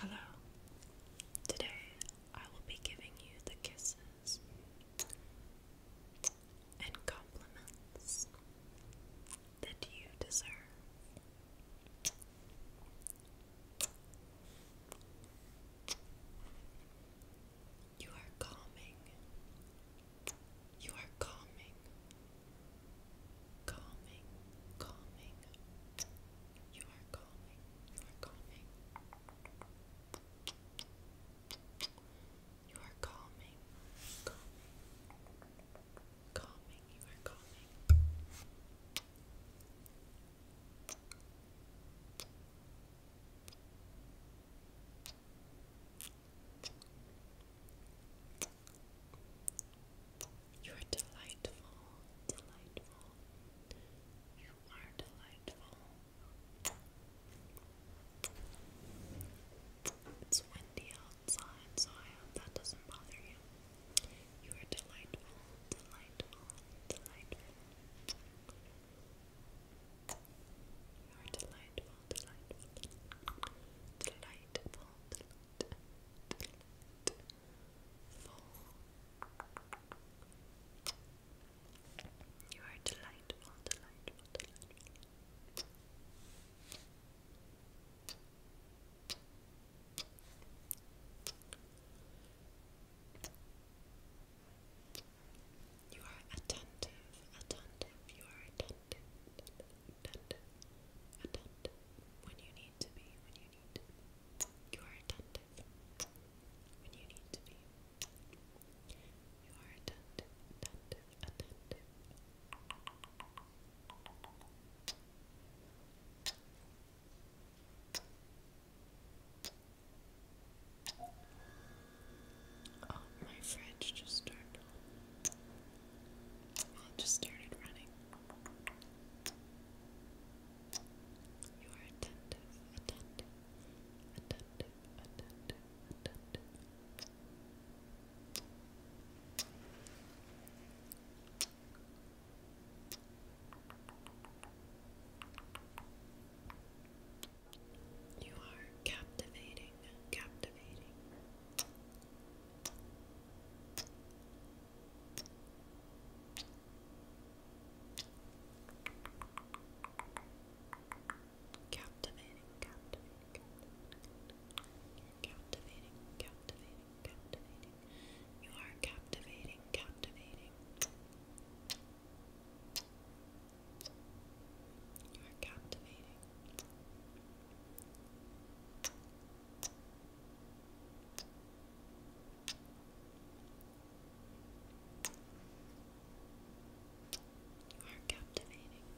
Hello. Today I will be giving you the kisses and compliments that you deserve. You are calming. You are calming. Calming. Calming. You are calming. You are calming. You are calming. Calming. Calming. You are calming. You are delightful, delightful. You are delightful. It's windy outside, so I hope that doesn't bother you. You are delightful, delightful, delightful. You are delightful, delightful, delightful, delightful. You are delightful, delightful. You are attentive, attentive, you are attentive, attentive, attentive, when you need to be, when you need to You are attentive when you need to be. You are attentive, attentive, attentive. Oh, my fridge just turned just started running. You are attentive, attentive, attentive, attentive, attentive. You are captivating, captivating. Captivating, captivating, captivating captivating, captivating, captivating. You are captivating, captivating. You are captivating. You are captivating.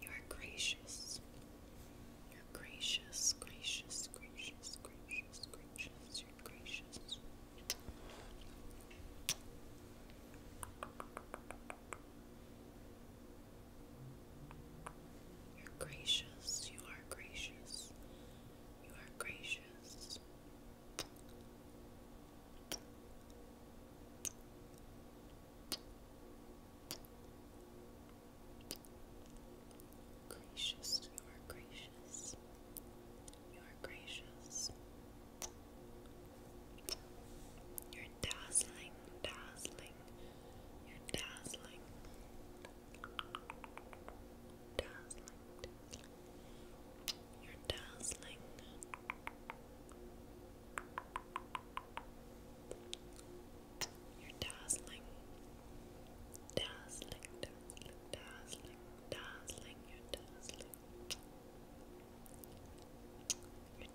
You are gracious. You're gracious, gracious, gracious, gracious, gracious. You're gracious. You're gracious. You are gracious. You are gracious. Gracious, you are gracious. You are gracious. You're dazzling, dazzling. You're dazzling. Dazzling, You're dazzling. You're dazzling, dazzling, dazzling, dazzling, dazzling. You're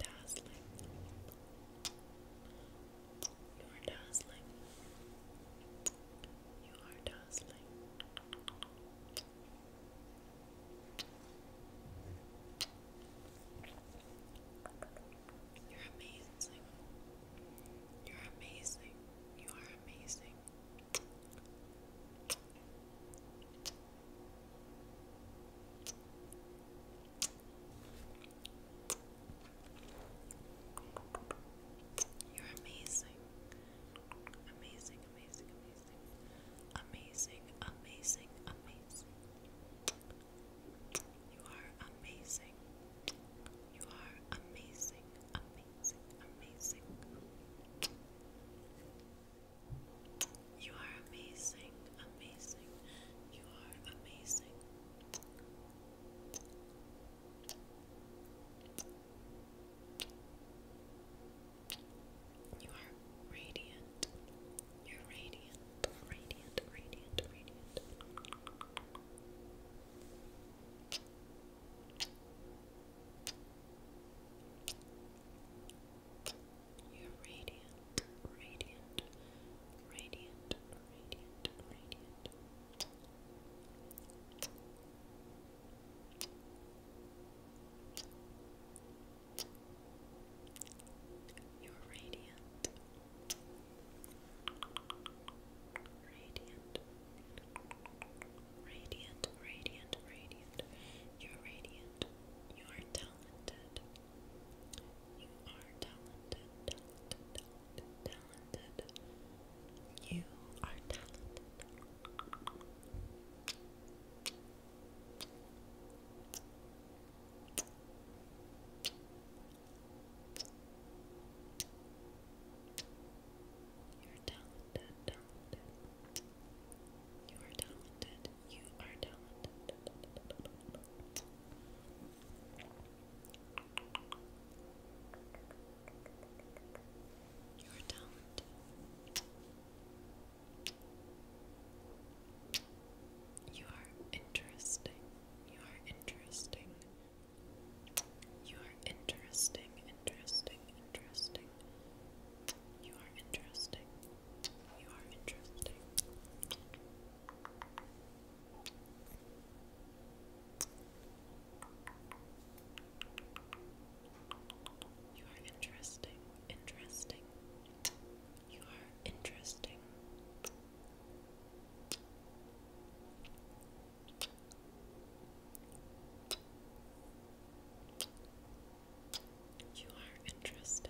dazzling. You're You are dazzling. You are dazzling. You're amazing. You're amazing. You are amazing. You're amazing. Amazing, amazing, amazing. Amazing, amazing, amazing. You are amazing. You are amazing, amazing, amazing. You are amazing, amazing. You are amazing. You are radiant. You're radiant, radiant, radiant, radiant. You're radiant, radiant, radiant, radiant, radiant. You're radiant. Radiant. Radiant, radiant, radiant. You're radiant. You are talented. You are talented, talented, talented. You are talented. You're talented, You are talented. You are talented your don't. You are interesting. You are interesting. You are interesting, interesting, interesting. You are interesting. You are interesting. You are interesting, interesting. You are interesting. You are interesting.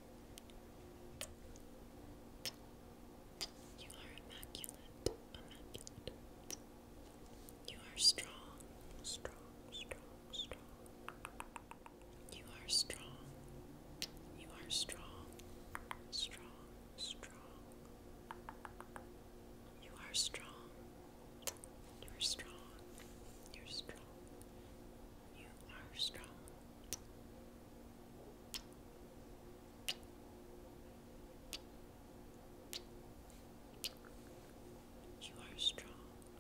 You are immaculate, immaculate. You are strong, strong, strong, strong. You are strong. You are strong, strong, strong. You are strong. You're strong. You're strong. You are strong. You are strong,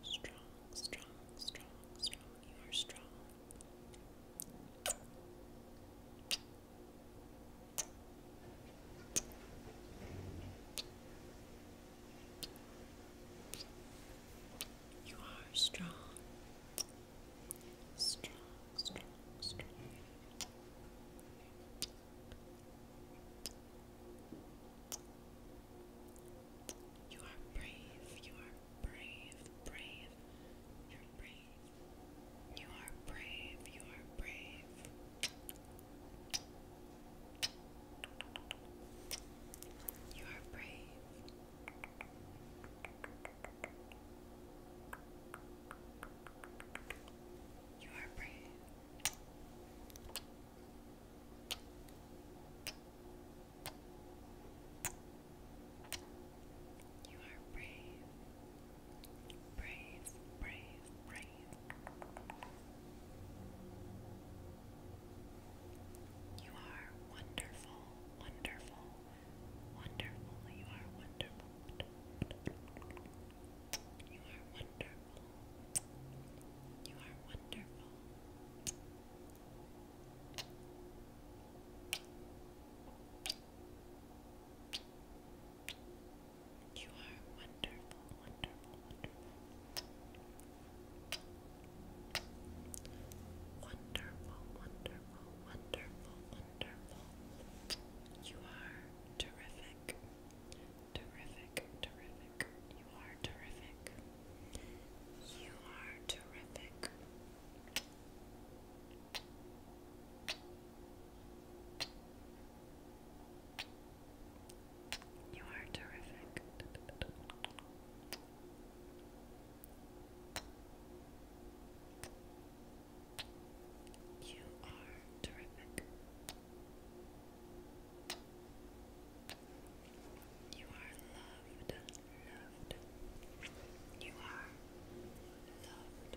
strong, strong, strong, strong. You are strong. You are strong. Strong, strong, strong. You are brave. You are brave, brave. You're brave. You are brave. You are brave. You are brave. You are brave. You are brave. Brave, brave, brave. You are wonderful, wonderful, wonderful. You are wonderful. You are wonderful. You are wonderful. You are wonderful wonderful, wonderful, wonderful, wonderful, You are terrific, terrific, terrific. You are terrific. You are terrific. You are terrific. You are terrific. You are loved, loved. You are loved.